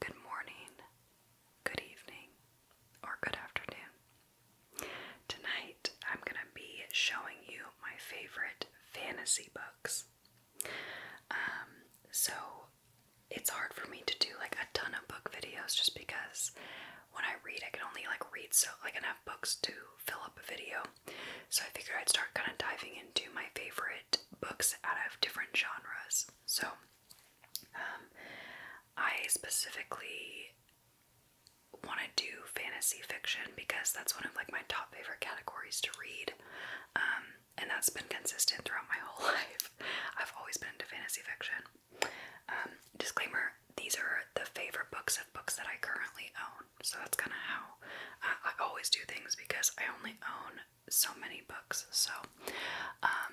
Good morning, good evening, or good afternoon. Tonight I'm going to be showing you my favorite fantasy books. Um, so it's hard for me to do like a ton of book videos just because when I read, I can only like read so like enough books to fill up a video. So I figured I'd start kind of diving in into my favorite books out of different genres. So, um, I specifically want to do fantasy fiction because that's one of like my top favorite categories to read, um, and that's been consistent throughout my whole life. I've always been into fantasy fiction. Um, disclaimer: these are the favorite books of books that I currently own, so that's kind of how uh, I always do things because I only own so many books. So, um,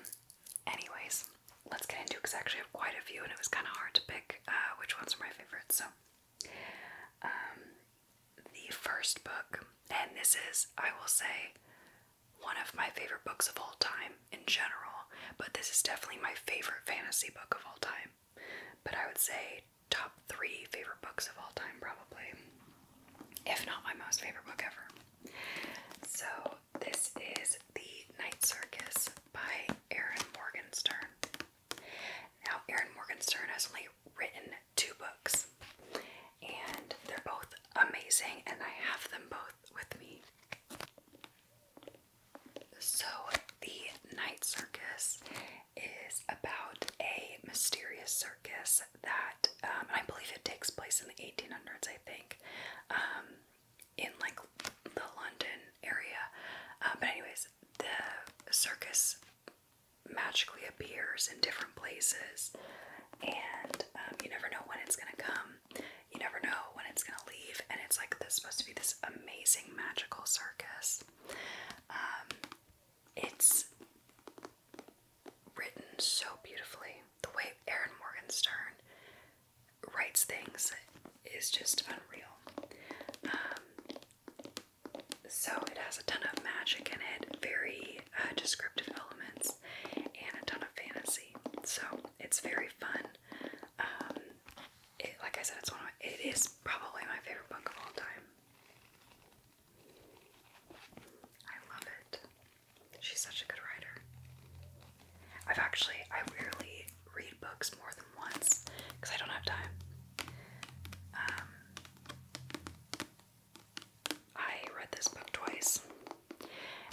anyways, let's get into it because I actually have quite a few and it was kind of hard to pick uh, which ones are my favorites. So, um, the first book, and this is, I will say, one of my favorite books of all time in general, but this is definitely my favorite fantasy book of all time. But I would say top three favorite books of all time, probably if not my most favorite book ever. So, this is The Night Circus by Aaron Morgenstern. Now, Aaron Morgenstern has only written two books, and they're both amazing, and I have them both with me. So, The Night Circus is about a mysterious circus that um, I believe it takes place in the 1800s, I think, um, in like the London area. Uh, but, anyways, the circus magically appears in different places, and um, you never know when it's gonna come, you never know when it's gonna leave, and it's like this supposed to be this amazing magical circus it's written so beautifully. The way Aaron Morgan Stern writes things is just unreal. Um, so it has a ton of magic in it, very uh, descriptive elements, and a ton of fantasy. So it's very fun. Um, like I said, it's one it is probably my favorite book of all time. I love it. She's such a good writer. I've actually, I rarely read books more than once because I don't have time. Um, I read this book twice,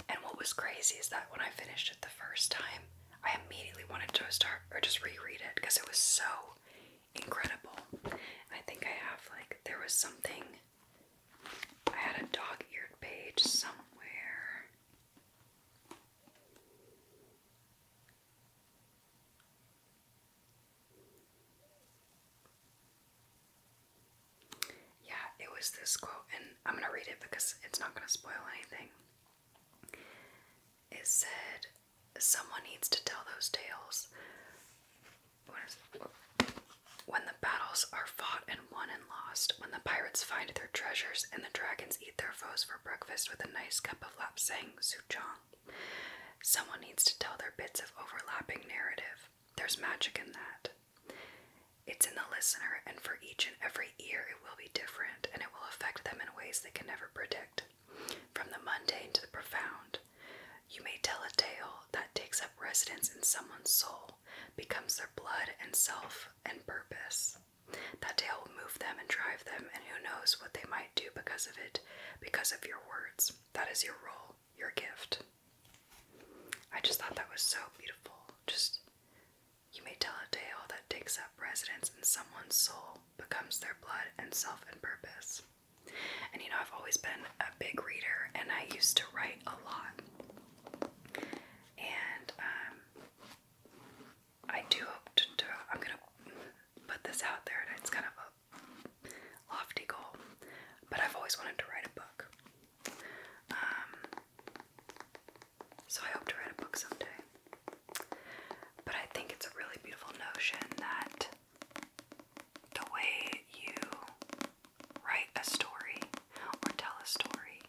and what was crazy is that when I finished it the first time, I immediately wanted to start or just reread it because it was so incredible. I think I have like there was something I had a dog-eared page somewhere. Yeah, it was this quote, and I'm going to read it because it's not going to spoil anything. It said, Someone needs to tell those tales when the battles are fought and won and lost, when the pirates find their treasures and the dragons eat their foes for breakfast with a nice cup of lapsang souchong, someone needs to tell their bits of overlapping narrative. There's magic in that. It's in the listener, and for each and every ear, it will be different, and it will affect them in ways they can never predict. From the mundane to the profound, you may tell a tale that takes up residence in someone's soul, becomes their blood and self and purpose. That tale will move them and drive them, and who knows what they might do because of it, because of your words. That is your role, your gift. I just thought that was so beautiful. Just, you may tell a tale that takes up residence in someone's soul, becomes their blood and self and purpose. And you know, I've always been a big reader and I used to write a lot. And um, I do hope to I'm going to put this out there and it's kind of a lofty goal, but I've always wanted to write a book. Um, so I hope to write a book someday. But I think it's a really beautiful notion that the way you write a story or tell a story,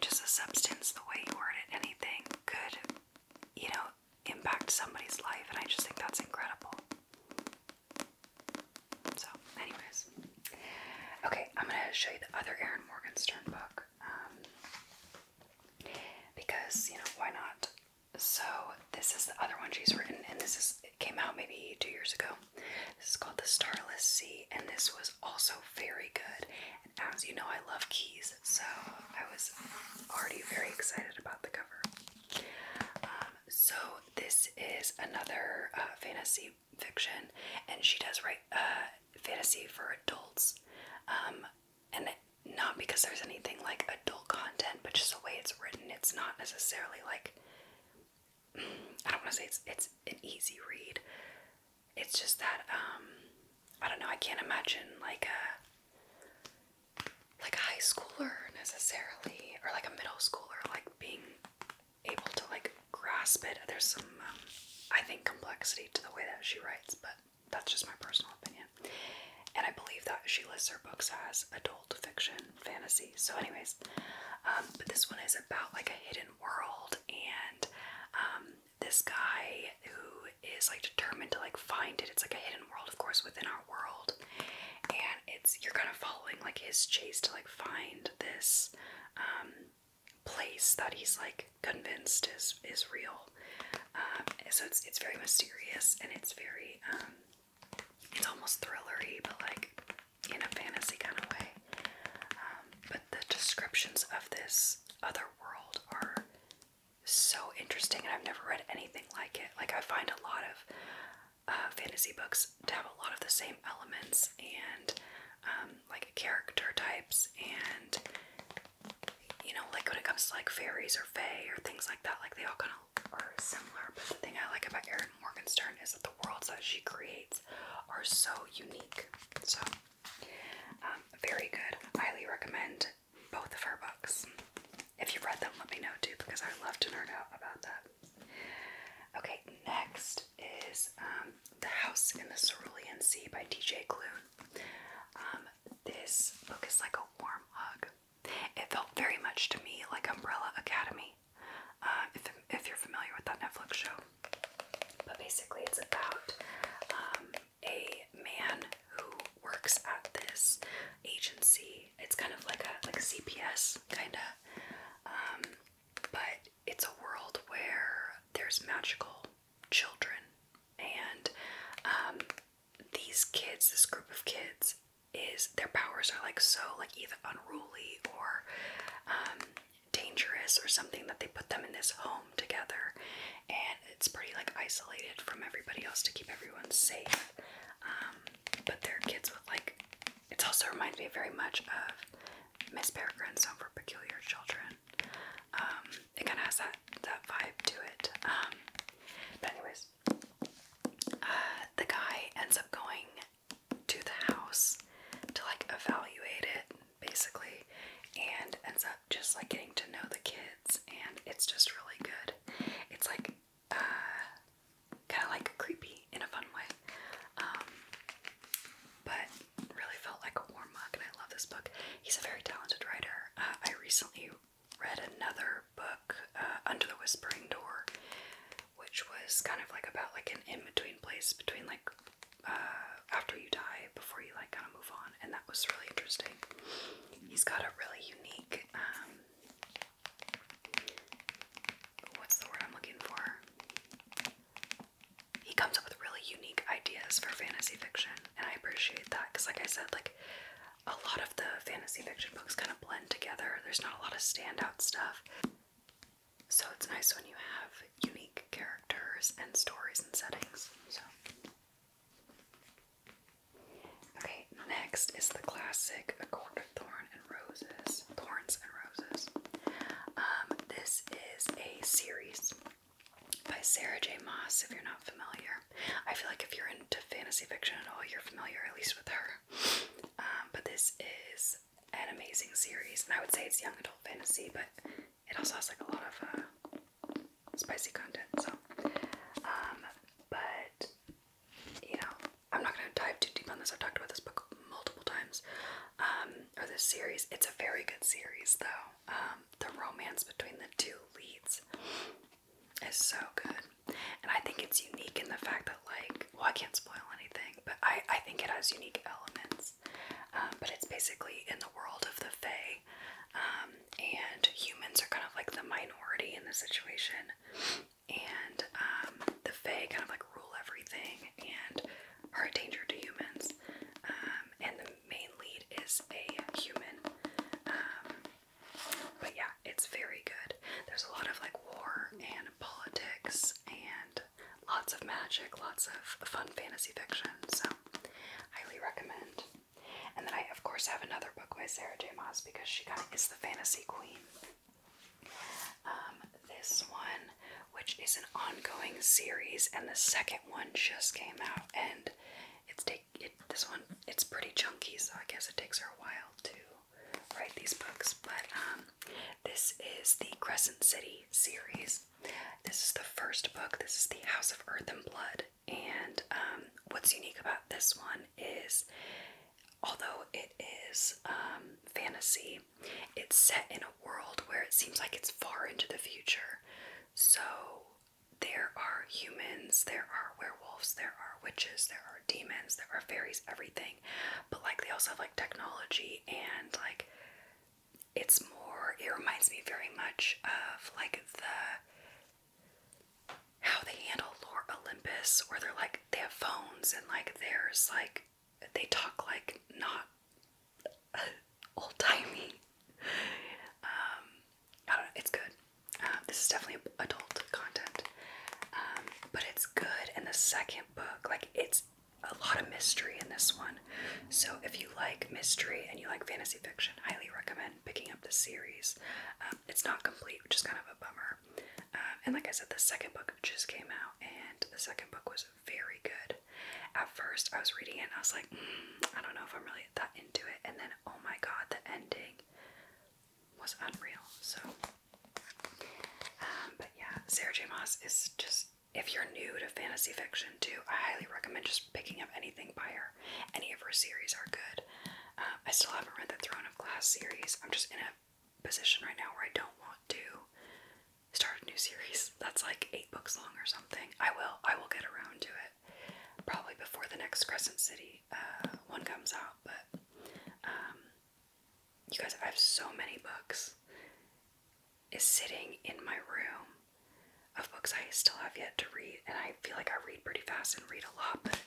just a substance, the way you word it, anything could, you know, impact somebody's life. And I just think that's incredible. So, anyways, okay, I'm going to show you the other Erin Morgenstern book um, because, you know, why not? So this is the other one she's written, and this is it came out maybe two years ago. This is called The Starless Sea, and this was also very good. And as you know, I love keys, so I was already very excited about the cover. Um, so this is another uh, fantasy fiction, and she does write uh, fantasy for adults, um, and not because there's anything like adult content, but just the way it's written, it's not necessarily like I don't want to say it's it's an easy read. It's just that um, I don't know, I can't imagine like a like a high schooler necessarily or like a middle schooler like being able to like grasp it. There's some um, I think complexity to the way that she writes, but that's just my personal opinion. And I believe that she lists her books as adult fiction fantasy. So, anyways, um, but this one is about like a hidden world, and um, this guy who is like determined to like find it. It's like a hidden world, of course, within our world, and it's you're kind of following like his chase to like find this um, place that he's like convinced is is real. so it's it's very mysterious and it's very it's almost thrillery, but like in a fantasy kind of way. Um, but the descriptions of this other world are so interesting, and I've never read anything like it. Like I find a lot of uh, fantasy books to have a lot of the same elements and um, like character types, and you know, like when it comes to like fairies or fae or things like that, like they all kind of similar, but the thing I like about Erin Morgenstern is that the worlds that she creates are so unique. So, um, very good. Highly recommend both of her books. If you've read them, let me know too, because I love to nerd out about that. Okay, next is um, The House in the Cerulean Sea by D.J. Clune. Um, this book is like a warm hug. It felt very much to me like Umbrella Academy, um, if, if you're familiar with that Netflix show. But basically, it's about um, a man who works at this agency. It's kind of like a like CPS kind of, um, but it's a world where there's magical children, and these kids, this group of kids, is their powers are like so like either unruly or um, dangerous or something that they put them in this home together and it's pretty like isolated from everybody else to keep everyone safe um, but they're kids with like it also reminds me very much of Miss Peregrine's Home for Peculiar Children um, it kind of has that that vibe to it but anyways uh, the guy ends up going to the house to like evaluate it basically and ends up just like getting to know the kids and it's just really good. It's like uh, kind of like creepy in a fun way. Um, but really felt like a warm mug and I love this book. He's a very talented writer. Uh, I recently read another book, uh, Under the Whispering Door, which was kind of like about like an in-between place between like uh, after you die, before you like kind of move on, and that was really interesting. He's got a really unique, um, what's the word I'm looking for? He comes up with really unique ideas for fantasy fiction, and I appreciate that because, like I said, like a lot of the fantasy fiction books kind of blend together. There's not a lot of standout stuff. So it's nice when you have unique characters and stories and settings. So Okay, next is the classic A Court of Thorn and Roses. Thorns and Roses. Um, this is a series by Sarah J. Moss, if you're not familiar. I feel like if you're into fantasy fiction at all, you're familiar at least with her. Um, but this is an amazing series, and I would say it's young adult fantasy, but it also has like a lot of uh, spicy content. So, um, but you know, I'm not gonna dive too deep on this. I've talked about this book multiple times, um, or this series. It's a very good series, though. the romance between the two leads is so good. And I think it's unique in the fact that like well I can't spoil anything, but I, I think it has unique elements. Um, but it's basically in the world of the Fae. Um, and humans are kind of like the minority in the situation. And um, the Fae kind of like rule everything and are a danger to humans. and the main lead is a human. But yeah, it's very good. There's a lot of like war and politics and lots of magic, lots of fun fantasy fiction. So, highly recommend. And then I, of course, have another book by Sarah J. Maas because she kind of is the fantasy queen. Um, this one, which is an ongoing series, and the second one just came out, and it's take This one, it's pretty chunky, so I guess it takes her a while to write these books, but um, this is the Crescent City series. This is the first book. This is the House of Earth and Blood, and um, what's unique about this one is, although it is um, fantasy, it's set in a world where it seems like it's far into the future. So there are humans, there are are werewolves, there are witches, there are demons, there are fairies, everything. But like they also have like technology and like it's more it reminds me very much of like the how they handle Lore Olympus where they're like they have phones and like there's like they talk like not old timey. Um it's good. Um, this is definitely adult content, um, but it's good. And the second book, like, it's a lot of mystery in this one. So if you like mystery and you like fantasy fiction, highly recommend picking up the series. Um, it's not complete, which is kind of a bummer. and like I said, the second book just came out, and the second book was very good. At first, I was reading it and I was like, hmm, I don't know if I'm really that into it. And then, oh my god, the ending was unreal. So um, but yeah, Sarah J. Moss is just, if you're new to fantasy fiction too, I highly recommend just picking up anything by her. Any of her series are good. Um, I still haven't read the Throne of Glass series. I'm just in a position right now where I don't want to start a new series that's like eight books long or something. I will, I will get around to it. Probably before the next Crescent City uh, one comes out, but um, you guys, I have so many books. Is sitting in my room of books I still have yet to read, and I feel like I read pretty fast and read a lot, but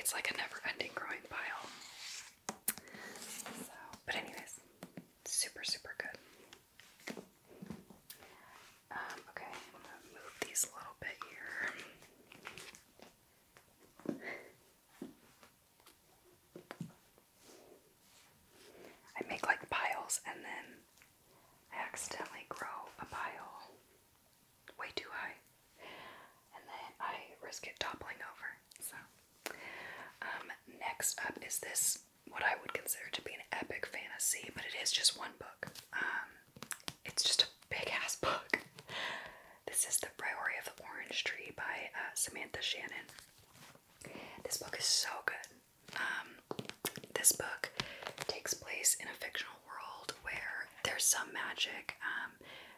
it's like a never-ending growing pile. So, but anyways, super super good. Um, okay, move these a little bit here. I make like piles and then I accidentally grow a pile way too high and then I risk it toppling over. So, um, next up is this what I would consider to be an epic fantasy, but it is just one book. Um, it's just a big ass book. This is The Priority of the Orange Tree by uh, Samantha Shannon. This book is so good. Um, this book takes place in a fictional world where there's some magic, um,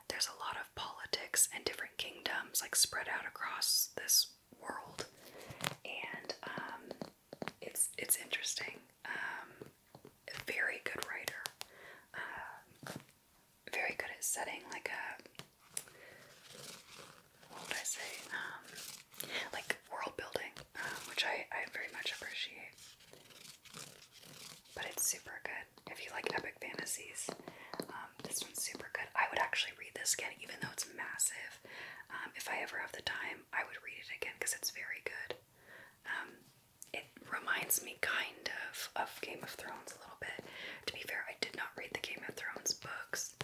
there's a lot of politics and different kingdoms like spread out across this world, and um, it's it's interesting. a very good writer very good at setting like a what would I say um, like world building, um, which I I very much appreciate. But it's super good if you like epic fantasies. Um, this one's super good. I would actually read this again, even though it's massive. Um, if I ever have the time, I would read it again because it's very good it reminds me kind of of Game of Thrones a little bit. To be fair, I did not read the Game of Thrones books,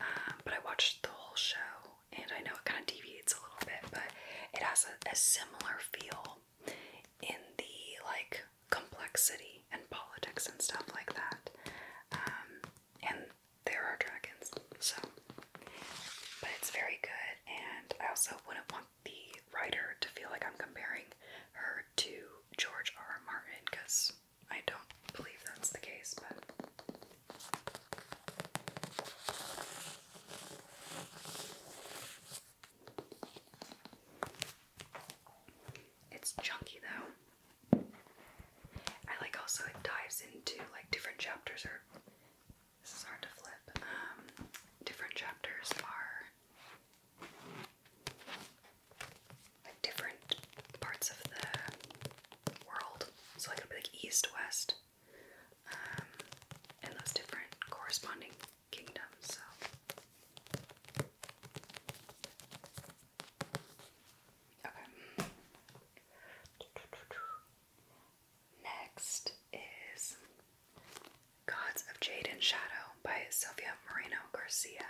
um, but I watched the whole show, and I know it kind of deviates a little bit, but it has a, similar feel in the like complexity and politics and stuff like that. Um, and there are dragons, so but it's very good, and I also wouldn't want the writer to feel like I'm comparing her to George R. Martin because I don't believe that's the case, but. It's chunky though. I like also it dives into like different chapters or this hard to flip. Um, different chapters are different parts of the world. So like it'll be like east, west, um, and those different corresponding kingdoms. So. Okay. Next is Gods of Jade and Shadow by Sylvia Moreno Garcia.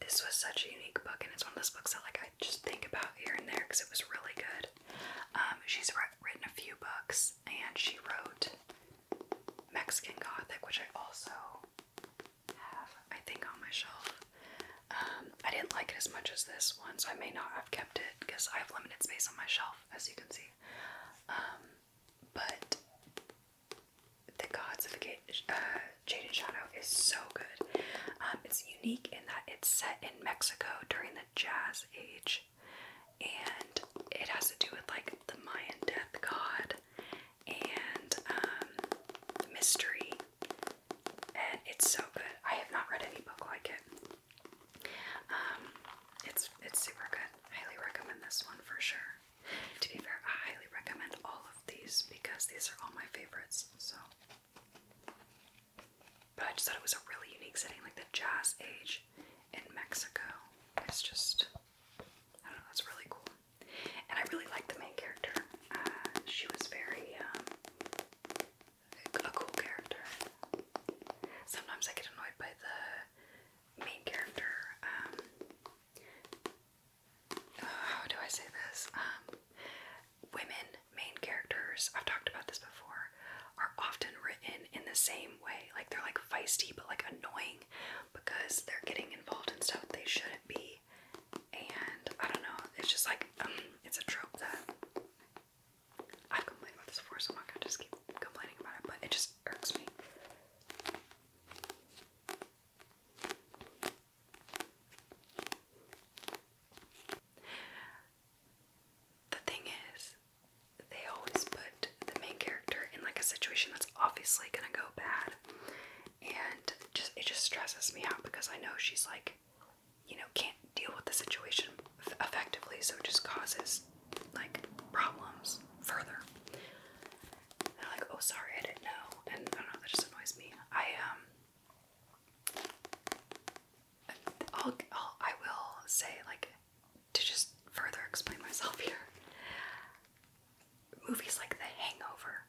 This was such a unique book, and it's one of those books that like I just think about here and there because it was really good. Um, she's written a few books, and she wrote Mexican Gothic, which I also have, I think, on my shelf. Um, I didn't like it as much as this one, so I may not have kept it because I have limited space on my shelf, as you can see. Um, but the Gods of uh, Jade and Shadow is so good. Um, it's unique in that it's set in Mexico during the Jazz Age, and it has to do with like the Mayan death god and um, mystery. And it's so good. I have not read any book like it. Um, it's it's super good. Highly recommend this one for sure. To be fair, I highly recommend all of these because these are all my favorites. So, but I just thought it was a really unique setting, like the Jazz Age in Mexico. It's just I don't know. that's really cool, and I really like the main character. Uh, she was very um, a cool character. Sometimes I get annoyed by the main character, um, uh, how do I say this? Um, women main characters, I've talked about this before, are often written in the same way. Like they're like feisty but like annoying because they're getting involved in stuff they shouldn't be. And I don't know, it's just like, um, it's a trope that I've complained about this before, so I'm not gonna just keep complaining about it, but it just irks me. The thing is, they always put the main character in like a situation that's obviously gonna go bad, and just it just stresses me out because I know she's like, you know, can't deal with the situation effectively, so it just causes like problems further. they're like, oh, sorry, I didn't know, and I don't know, that just annoys me. I um, I'll I will say like to just further explain myself here. Movies like The Hangover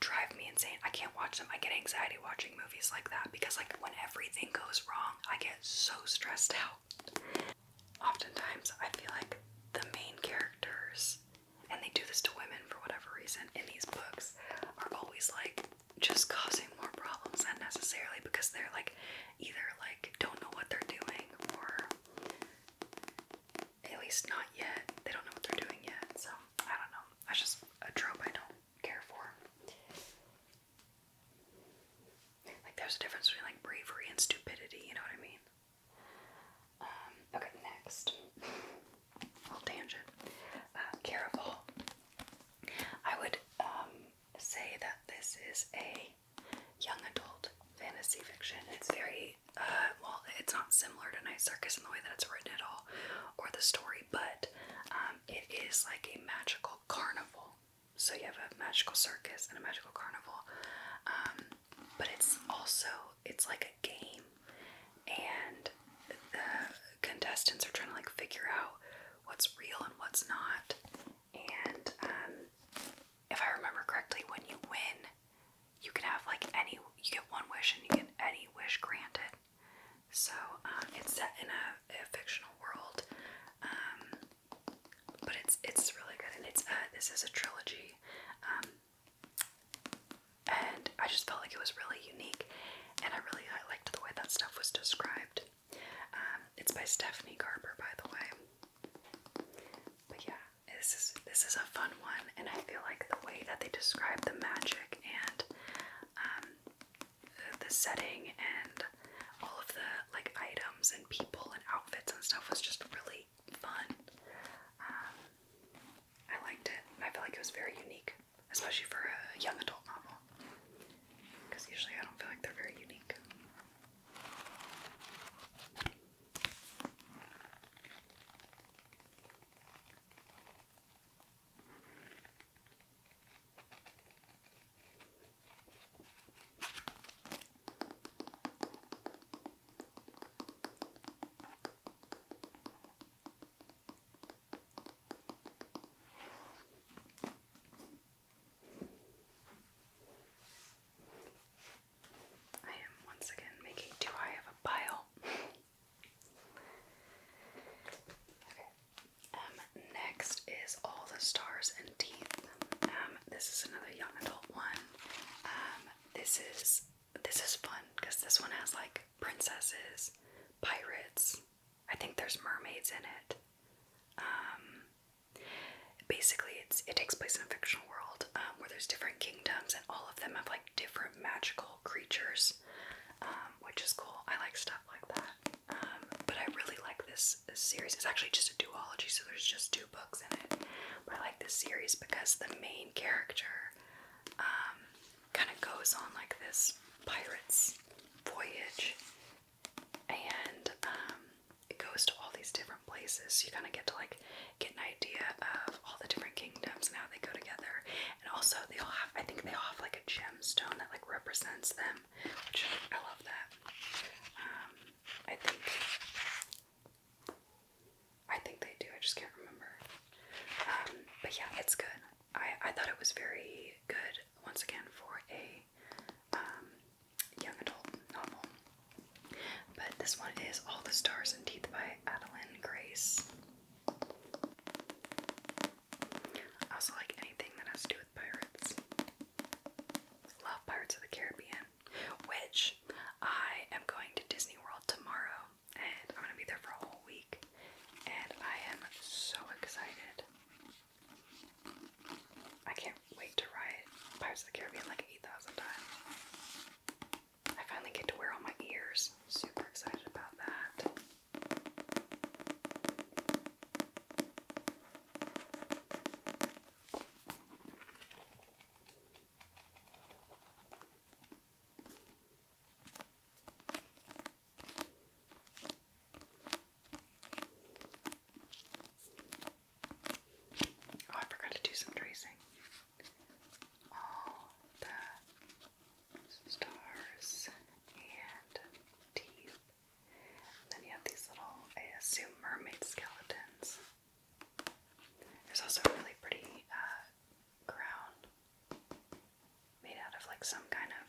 drive me insane. I can't watch them. I get anxiety watching movies like that because like when everything goes wrong, I get so stressed out. Oftentimes, I feel like the main characters, and they do this to women for whatever reason, in these books, are always like just causing more problems than necessarily because they're like either like don't know what they're doing or at least not yet. They don't know what they're doing yet. So I don't know. That's just a trope I don't care for. Like, there's a difference between like bravery and stupidity, you know what I mean? Um, okay, next. Little tangent. Uh, Caraval. I would um, say that this is a young adult fantasy fiction. It's very, uh, well, it's not similar to Night Circus in the way that it's written at all, or the story, but um, it is like a magical carnival so you have a magical circus and a magical carnival um, but it's also it's like a game and the contestants are trying to like figure out what's real and what's not and um, if i remember correctly when you win you can have like any you get one wish and you get any wish granted so um, it's set in a, fictional world but it's it's really good, and it's uh, this is a trilogy, um, and I just felt like it was really unique, and I really I liked the way that stuff was described. Um, it's by Stephanie Garber, by the way. But yeah, this is this is a fun one, and I feel like the way that they describe the magic and um, the setting and all of the like items and people and outfits and stuff was just really fun. Um, I liked it. I felt like it was very unique, especially for a young adult novel. Because usually I don't feel like they're very unique. I am once again making too high of a pile. okay. Um, next is all the stars and teeth. Um, this is another young adult one. Um, this is this is fun because this one has like princesses, pirates. I think there's mermaids in it. Um, basically, it's it takes place in a fictional world um, where there's different kingdoms and all of them have like different magical creatures, which is cool. I like stuff like that. but I really like this, series. It's actually just a duology, so there's just two books in it, but I like this series because the main character um, kind of goes on like this pirate's voyage, and um, it goes to all these different places. So you kind of get to like get an idea of all the different kingdoms and how they go together, and also they all have. I think they all have like a gemstone that like represents them, which I love that. Um, I think. I think they do. I just can't remember. Um, but yeah, it's good. I I thought it was very good once again for a um, young adult novel. But this one is All the Stars and Teeth by Adeline Grace. I also like anything that has to do pirates. Love Pirates of the Caribbean, which I am going to Disney World tomorrow, and I'm gonna be there for a whole week, and I am so excited. I can't wait to ride Pirates of the Caribbean like 8,000 times. I finally get to wear all my ears. Super excited about that. Oh, I forgot to do some tracing. All the stars and teeth then you have these little, I assume, mermaid skeletons. There's also a really pretty uh, crown made out of like some kind of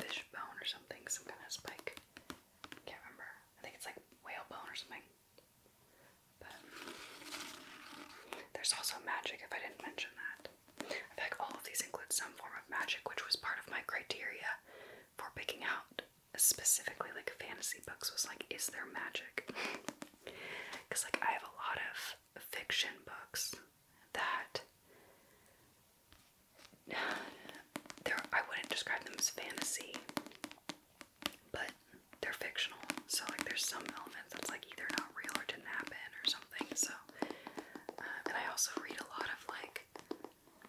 fish bone or something, some kind of spike. Can't remember. I think it's like whale bone or something. But there's also magic, if I didn't mention that. I feel all of these include some form of magic, which was part of my criteria for picking out specifically like fantasy books was like, is there magic? Because like I have a lot of fiction books that there I wouldn't describe them as fantasy, but they're fictional. So like there's some elements that's like either not real or didn't happen or something. So uh, and I also read a lot of like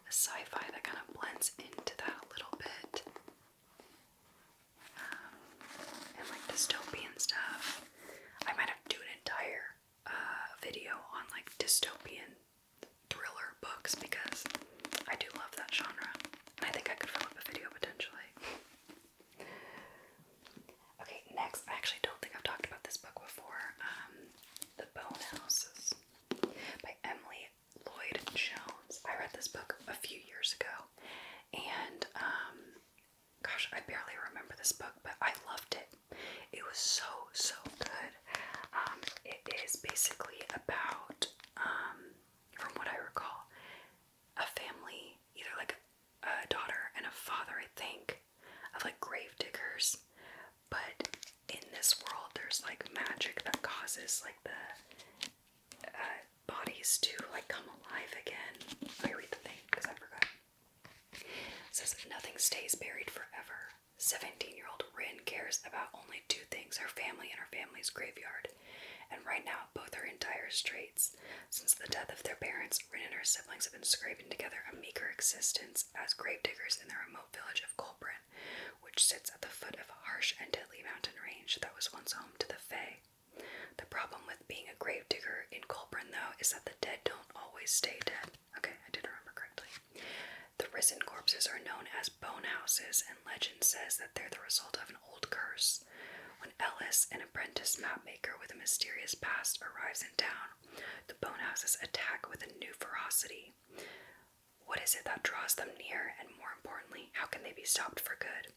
a sci-fi that kind of blends into that a little bit. Um, and like dystopian stuff. I might have to do an entire uh, video on like dystopian thriller books because I do love that genre. And I think I could fill up a video potentially. okay, next, I actually don't think I've talked about this book before. Um, the Bone Houses by Emily Lloyd Jones. I read this book a few years ago, and um, gosh, I barely remember this book, but I loved it. It was so so good. Um, it is basically about, um, from what I recall, a family, either like a daughter and a father, I think, of like grave diggers, but in this world there's like magic that causes like the uh, bodies to like come alive again. Let me read the thing because I forgot. says nothing stays buried forever. 17 year old Rin cares about only two things her family and her family's graveyard. And right now, both are in dire straits. Since the death of their parents, Rin and her siblings have been scraping together a meager existence as gravediggers in the remote village of Colbrin which sits at the foot of a harsh and deadly mountain range that was once home to the Fae. The problem with being a gravedigger in Colburn, though, is that the dead don't always stay dead. Okay, I did remember correctly. The risen corpses are known as Bonehouses, and legend says that they're the result of an old curse. When Ellis, an apprentice mapmaker with a mysterious past, arrives in town, the Bonehouses attack with a new ferocity. What is it that draws them near, and more importantly, how can they be stopped for good?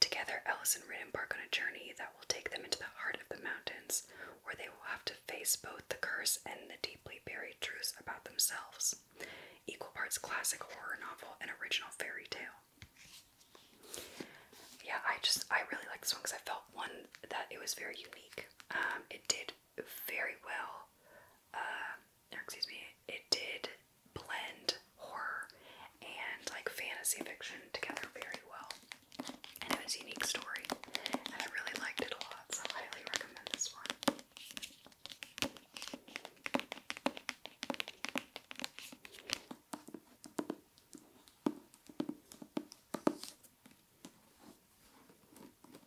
Together, Ellis and Rin embark on a journey that will take them into the heart of the mountains, where they will have to face both the curse and the deeply buried truths about themselves. Equal parts classic horror novel and original fairy tale. Yeah, I just I really liked this one because I felt one that it was very unique. Um, it did very well. Uh, excuse me, it did blend horror and like fantasy fiction together very well. And it was a unique story. And I really liked it a lot, so I highly recommend this one. I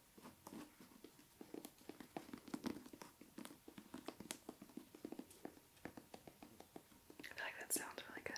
feel like that sounds really good.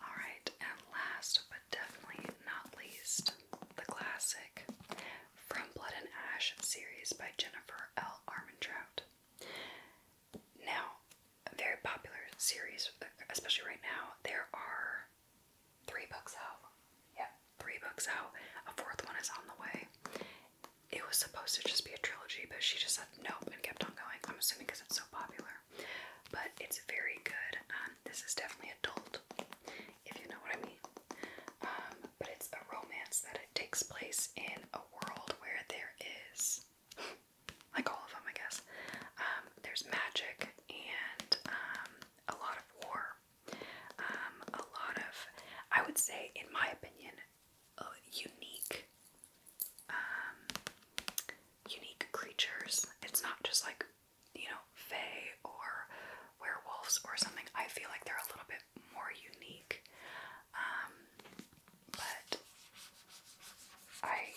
Alright, and last but definitely not least, the classic From Blood and Ash series by Jennifer L. Armentrout. Now, a very popular series, especially right now, there are three books out. yeah. three books out. A fourth one is on the way. It was supposed to just be a trilogy, but she just said nope and kept on going. I'm assuming because it's so popular. But it's very good. Um, this is definitely adult, if you know what I mean. Um, but it's a romance that it takes place in a world where there is, like all of them, I guess. Um, there's magic and a lot of war, um, a lot of, I would say, in my opinion, uh, unique, um, unique creatures. It's not just like, you know, fae or werewolves or something. I feel like they're a little bit more unique. Um, but I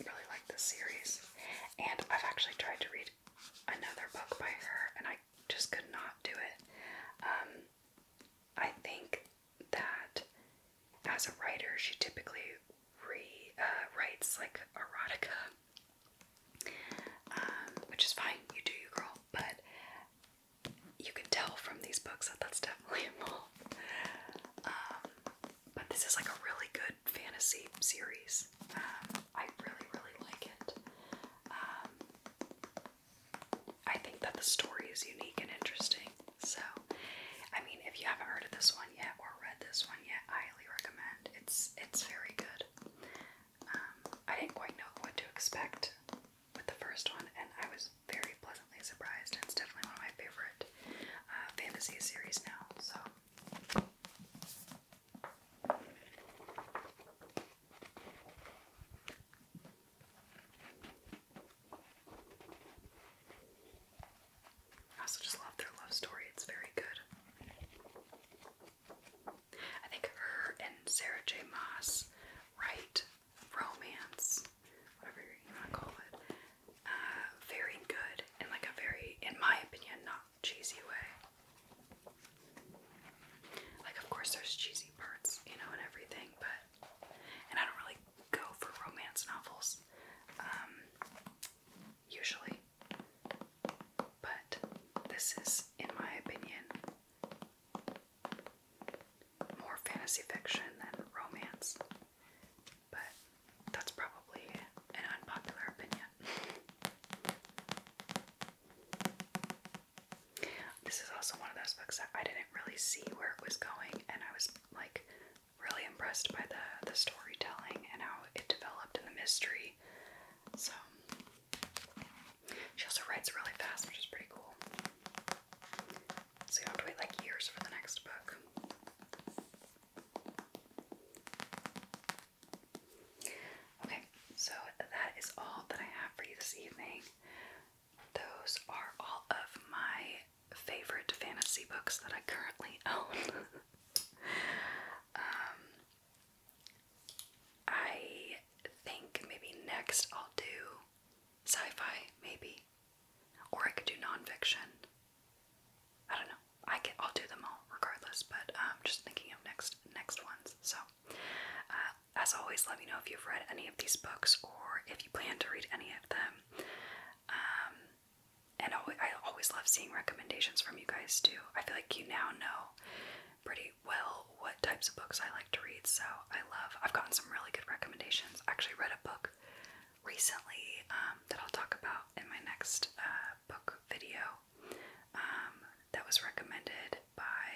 really like this series, and I've actually tried to read another book by her, and I just could not do it. Um, I think that as a writer, she typically re uh, writes like erotica, um, which is fine. You do you, girl. But you can tell from these books that that's definitely a mole but this is like a really good fantasy series. Um, I really, really like it. Um, I think that the story is unique and interesting. So, I mean, if you haven't heard of this one yet or read this one yet, I highly recommend. It's it's very good. Um, I didn't quite know what to expect with the first one, and I was very pleasantly surprised. It's definitely one of my favorite uh, fantasy series now. So. I also just love their love story, it's very good. I think her and Sarah J. Moss write romance, whatever you want to call it, uh, very good and like a very, in my opinion, not cheesy way. Like, of course, there's cheesy parts, you know, and everything, but. And I don't really go for romance novels, um, usually. But this is, in my opinion, more fantasy fiction than romance. But that's probably an unpopular opinion. This is also one of those books that I didn't really see where it was going, and I was like really impressed by the the storytelling and how it developed in the mystery. So she also writes really fast, which is pretty cool. So you don't wait like years for the next book. Okay, so that is all that I have for you this evening. Those are all of my favorite fantasy books that I currently own. um, I think maybe next I'll do sci fi, maybe. Or I could do nonfiction. I don't know. I can, I'll do them all regardless, but I'm um, just thinking of next next ones. So, uh, as always, let me know if you've read any of these books or if you plan to read any of them. Um, and I always love seeing recommendations from you guys too. I feel like you now know pretty well what types of books I like to read, so I love. I've gotten some really good recommendations. actually read a book recently um, that I'll talk about in my next uh, book video. Um, that was recommended by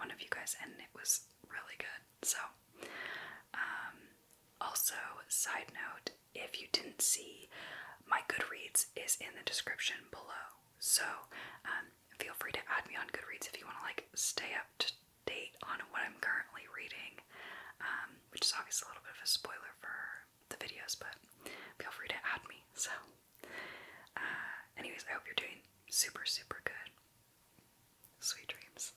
one of you guys, and it was really good. So, um, also, side note if you didn't see, my Goodreads is in the description below. So, um, feel free to add me on Goodreads if you want to like stay up to date on what I'm currently reading, which is obviously a little bit of a spoiler for the videos, but feel free to add me. So, uh, anyways, I hope you're doing super, super good. Sweet dreams.